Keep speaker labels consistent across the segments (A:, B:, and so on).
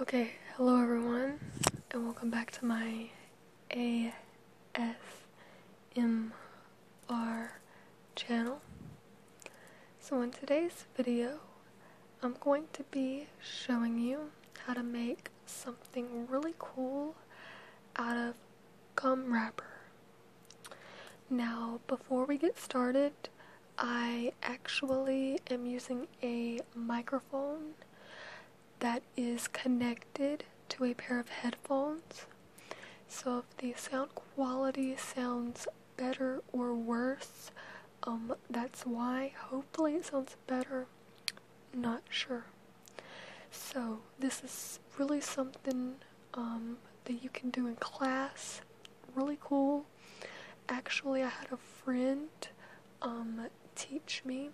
A: Okay, hello everyone, and welcome back to my ASMR channel. So, in today's video, I'm going to be showing you how to make something really cool out of gum wrapper. Now, before we get started, I actually am using a microphone that is connected to a pair of headphones. So if the sound quality sounds better or worse, um, that's why. Hopefully it sounds better. Not sure. So this is really something um, that you can do in class really cool. Actually, I had a friend um, teach me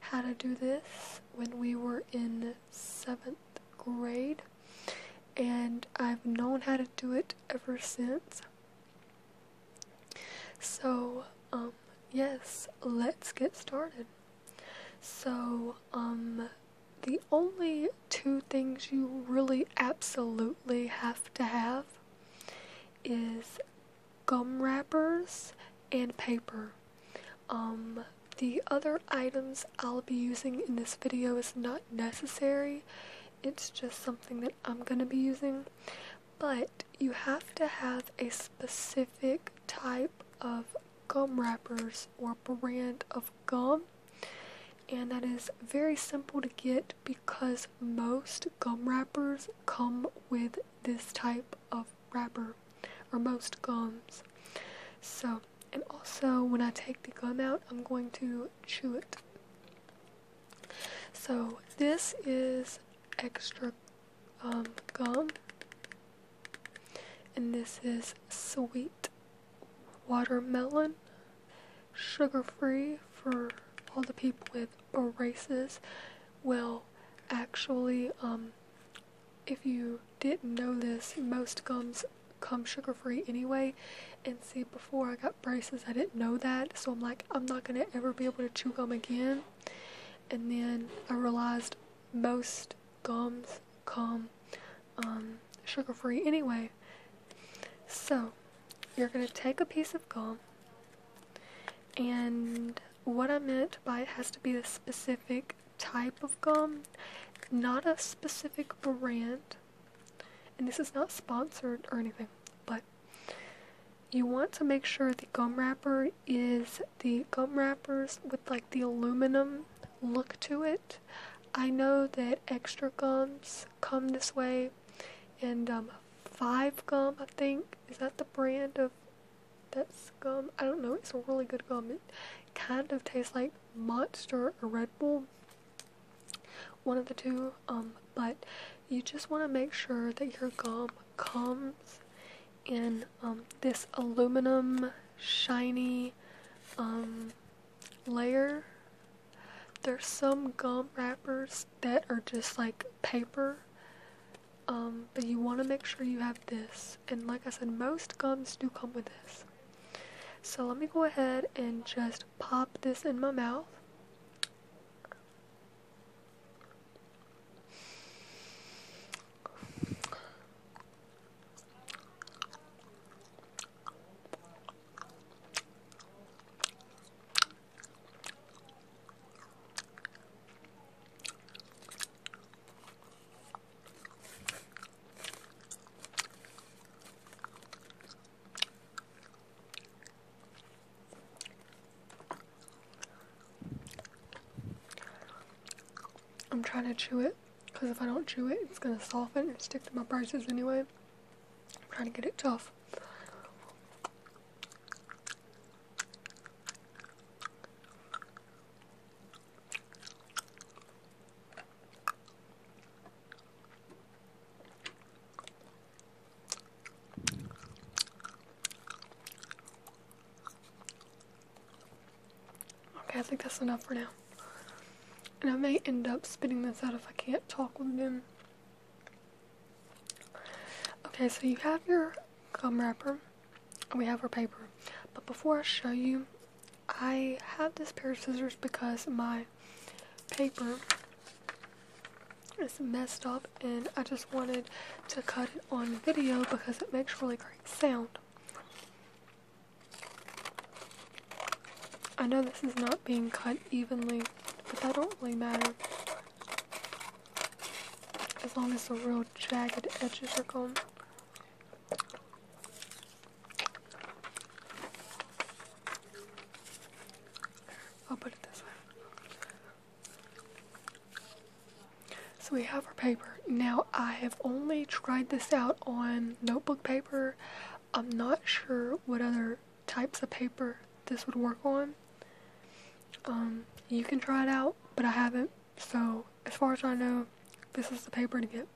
A: how to do this when we were in seventh grade, and I've known how to do it ever since. So, um, yes, let's get started. So, um, the only two things you really absolutely have to have is gum wrappers and paper. Um, the other items I'll be using in this video is not necessary. It's just something that I'm going to be using. But you have to have a specific type of gum wrappers or brand of gum and that is very simple to get because most gum wrappers come with this type of wrapper or most gums so and also when I take the gum out I'm going to chew it so this is extra um, gum and this is sweet watermelon, sugar free for all the people with braces. Well, actually, um, if you didn't know this, most gums come sugar free anyway. And see, before I got braces, I didn't know that, so I'm like, I'm not gonna ever be able to chew gum again. And then I realized most gums come um, sugar free anyway. So, you're going to take a piece of gum, and what I meant by it has to be a specific type of gum, not a specific brand. And this is not sponsored or anything, but you want to make sure the gum wrapper is the gum wrappers with like the aluminum look to it I know that extra gums come this way, and um, Five Gum, I think, is that the brand of that gum? I don't know. It's a really good gum. It kind of tastes like Monster or Red Bull, one of the two. Um, but you just want to make sure that your gum comes in um, this aluminum shiny layer. There's some gum wrappers that are just like paper. Um, but you want to make sure you have this. And like I said, most gums do come with this. So let me go ahead and just pop this in my mouth. I'm trying to chew it because if I don't chew it, it's going to soften and stick to my braces anyway. I'm trying to get it tough. Okay, I think that's enough for now. And I may end up spitting this out if I can't talk with them. Okay, so you have your gum wrapper, we have our paper. But before I show you, I have this pair of scissors because my paper is messed up and I just wanted to cut it on video because it makes really great sound. I know this is not being cut evenly, but that don't really matter. As long as the real jagged edges are gone. I'll put it this way. So we have our paper. Now I have only tried this out on notebook paper. I'm not sure what other types of paper this would work on. Um, you can try it out, but I haven't. So, as far as I know, this is the paper to get.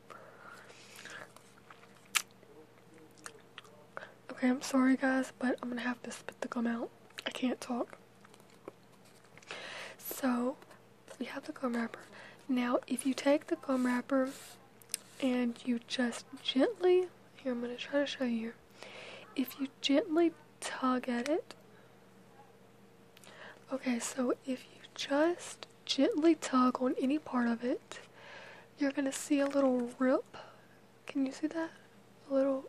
A: Okay, I'm sorry guys, but I'm gonna have to spit the gum out. I can't talk. So, we have the gum wrapper. Now, if you take the gum wrapper and you just gently, here I'm going to try to show you. If you gently tug at it, okay, so if you just gently tug on any part of it, you're going to see a little rip. Can you see that? A little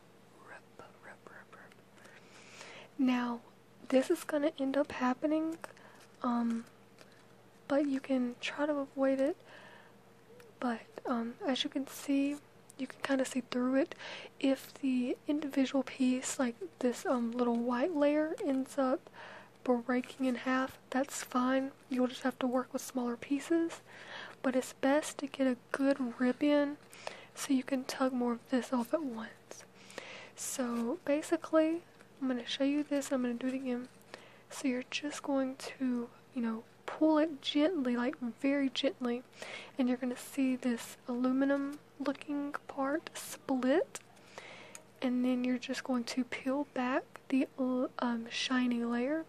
A: rip, rip, rip, rip. Now, this is gonna end up happening, um, but you can try to avoid it. But um, as you can see, you can kind of see through it. If the individual piece, like this um, little white layer, ends up breaking in half, that's fine. You'll just have to work with smaller pieces. But it's best to get a good ribbon so you can tug more of this off at once. So basically, I'm going to show you this. I'm going to do it again. So you're just going to, you know, pull it gently, like very gently, and you're going to see this aluminum looking part split. And then you're just going to peel back the uh, um, shiny layer,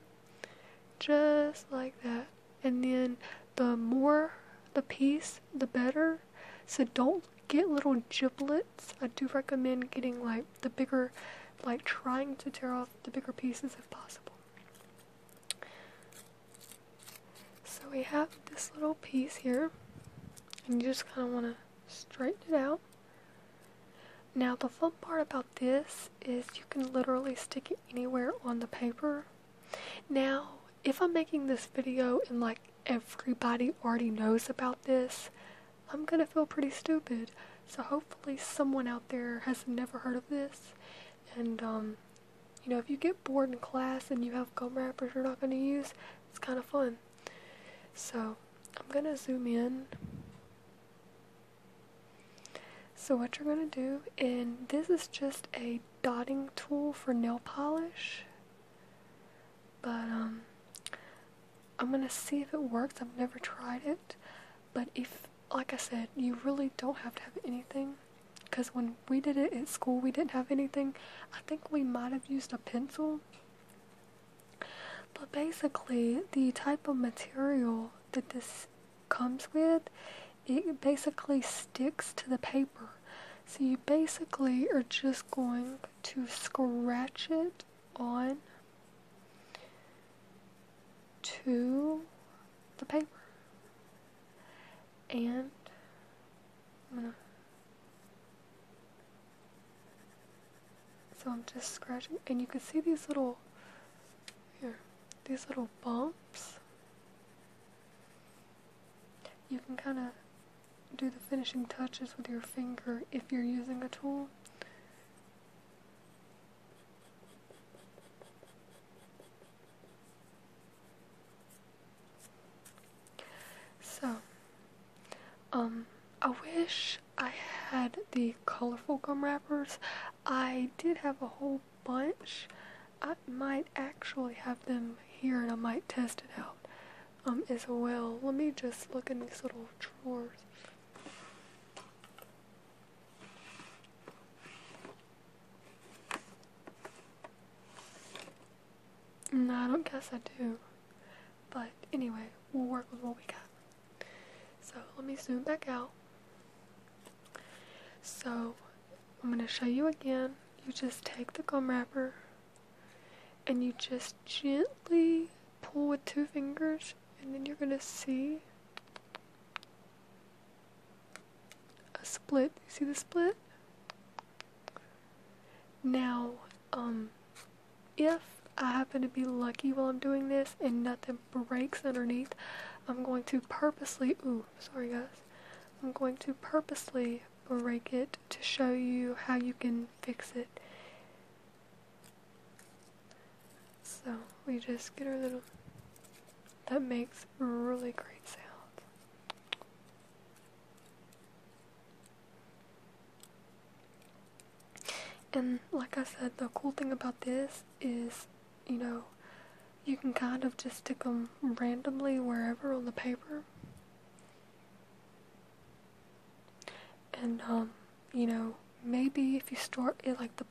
A: just like that. And then the more the piece, the better. So don't get little giblets. I do recommend getting like the bigger, like trying to tear off the bigger pieces if possible. So we have this little piece here, and you just kind of want to straighten it out. Now the fun part about this is you can literally stick it anywhere on the paper. Now if I'm making this video and like everybody already knows about this, I'm gonna feel pretty stupid. So hopefully someone out there has never heard of this. And um, you know, if you get bored in class and you have gum wrappers you're not gonna use, it's kind of fun. So I'm gonna zoom in. So what you're gonna do, and this is just a dotting tool for nail polish. But um, I'm gonna see if it works. I've never tried it. But if like I said, you really don't have to have anything. Cause when we did it at school we didn't have anything. I think we might have used a pencil. But basically the type of material that this comes with it basically sticks to the paper so you basically are just going to scratch it on to the paper. And So I'm just scratching and you can see these little here, these little bumps. You can kind of do the finishing touches with your finger if you're using a tool. So, um, I wish I had the colorful gum wrappers. I did have a whole bunch. I might actually have them here and I might test it out um, as well. Let me just look in these little drawers. No, I don't guess I do. But anyway, we'll work with what we got. So let me zoom back out. So I'm going to show you again. You just take the gum wrapper and you just gently pull with two fingers, and then you're going to see a split. You see the split? Now, um, if I happen to be lucky while I'm doing this and nothing breaks underneath, I'm going to purposely, ooh, sorry guys, I'm going to purposely break it to show you how you can fix it. So we just get our little, that makes really great sound. And like I said, the cool thing about this is, you know, you can kind of just stick them randomly wherever on the paper. And, um, you know, maybe if you start at like the,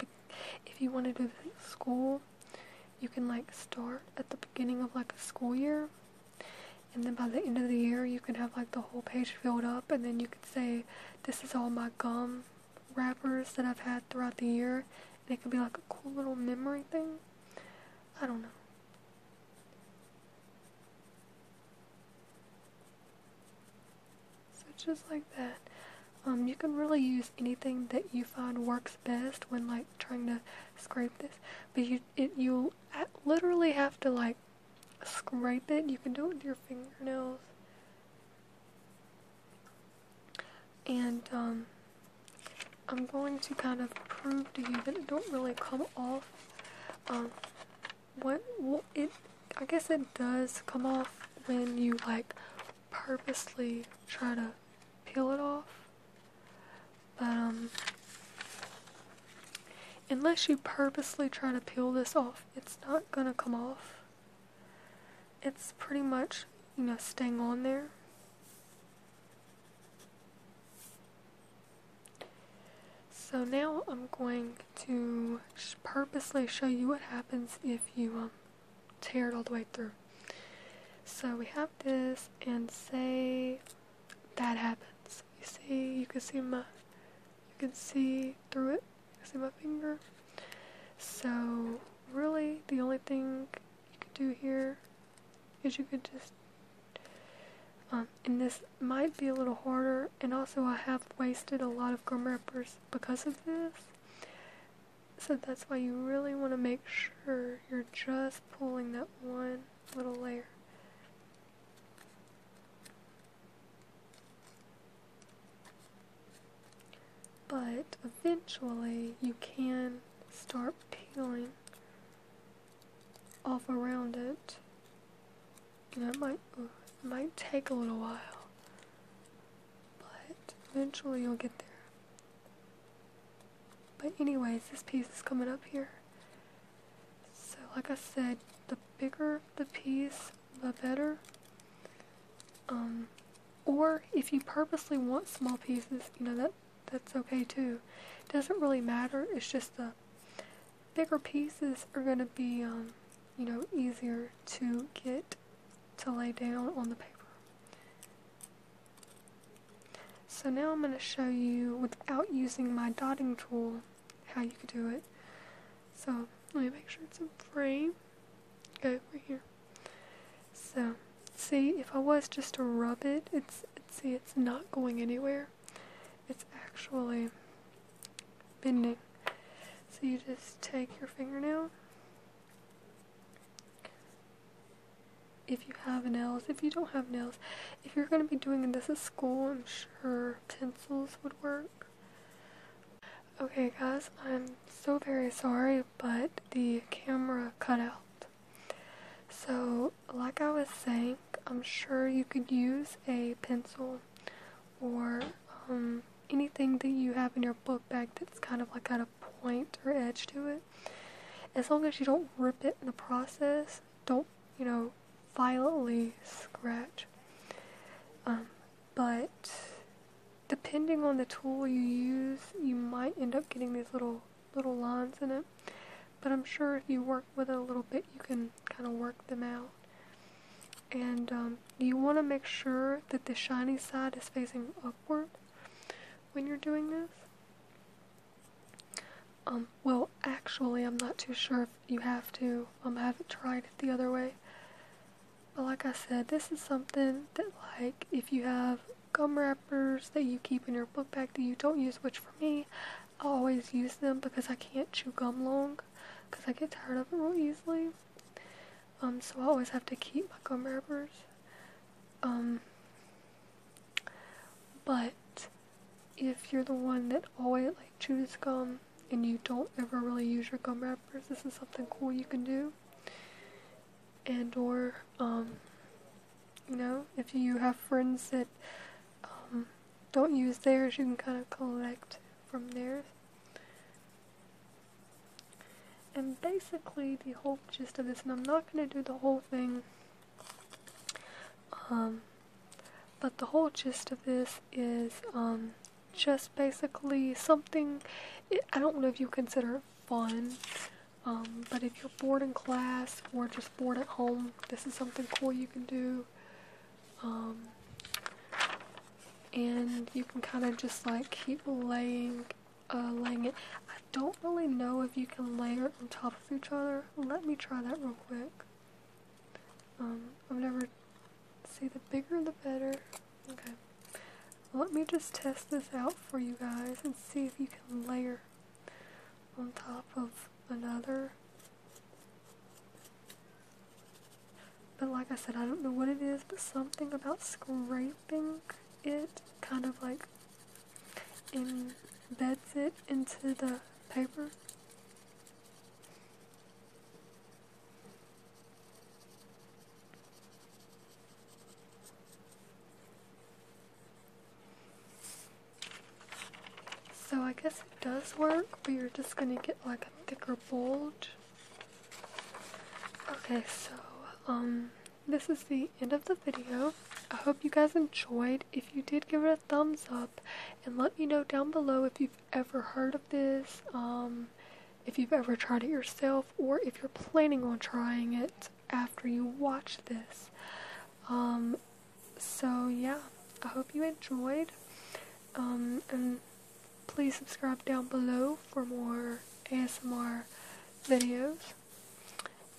A: if you want to do school, you can like start at the beginning of like a school year. And then by the end of the year, you can have like the whole page filled up, and then you could say, This is all my gum wrappers that I've had throughout the year, it could be like a cool little memory thing. I don't know. So just like that. Um, you can really use anything that you find works best when like trying to scrape this, but you it you literally have to like scrape it. You can do it with your fingernails. And um, I'm going to kind of prove to you that it don't really come off. Um, what, it, I guess it does come off when you like purposely try to peel it off. But um, unless you purposely try to peel this off, it's not gonna come off it's pretty much, you know, staying on there. So now I'm going to purposely show you what happens if you um, tear it all the way through. So we have this and say that happens. You see, you can see my, you can see through it, you can see my finger. So, really, the only thing you could do here is you could just. Um, and this might be a little harder, and also I have wasted a lot of gum wrappers because of this. So that's why you really want to make sure you're just pulling that one little layer. But eventually you can start peeling off around it. And it might, might take a little while. But eventually you'll get there. But anyways, this piece is coming up here. So like I said, the bigger the piece, the better. Um, or if you purposely want small pieces, you know, that that's okay too. It doesn't really matter, it's just the bigger pieces are going to be, um, you know, easier to get to lay down on the paper. So now I'm going to show you, without using my dotting tool, how you could do it. So, let me make sure it's in frame go over here. So, see, if I was just to rub it, it's, see, it's not going anywhere. It's actually bending. So you just take your fingernail. If you have nails, if you don't have nails, if you're going to be doing this at school, I'm sure pencils would work. Okay, guys, I'm so very sorry, but the camera cut out. So, like I was saying, I'm sure you could use a pencil or um, anything that you have in your book bag that's kind of like got a point or edge to it. As long as you don't rip it in the process, don't, you know, violently scratch. Um, but depending on the tool you use, you might end up getting these little little lines in it. But I'm sure if you work with it a little bit, you can kind of work them out. And um, you want to make sure that the shiny side is facing upward when you're doing this. Um, well, actually, I'm not too sure if you have to. Um, I haven't tried it the other way. But like I said, this is something that like if you have gum wrappers that you keep in your book bag that you don't use, which for me, I always use them because I can't chew gum long because I get tired of it real easily. Um, so I always have to keep my gum wrappers. Um, but if you're the one that always like chews gum and you don't ever really use your gum wrappers, this is something cool you can do. And or, um, you know, if you have friends that um, don't use theirs, you can kind of collect from theirs. And basically the whole gist of this, and I'm not going to do the whole thing, um, but the whole gist of this is, just basically something I don't know if you consider it fun, um, but if you're bored in class or just bored at home, this is something cool you can do. Um, and you can kind of just like keep laying, uh, laying it. I don't really know if you can layer on top of each other. Let me try that real quick. Um, I've never See, the bigger the better. Okay. Let me just test this out for you guys and see if you can layer on top of another. But like I said, I don't know what it is, but something about scraping it kind of like embeds it into the paper. So I guess it does work, but you're just gonna get like a thicker bulge. Okay, so um, this is the end of the video. I hope you guys enjoyed. If you did, give it a thumbs up and let me know down below if you have ever heard of this, um, if you've ever tried it yourself, or if you're planning on trying it after you watch this. Um, so yeah, I hope you enjoyed. Um, and please subscribe down below for more ASMR videos.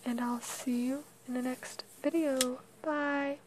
A: And I'll see you in the next video. Bye!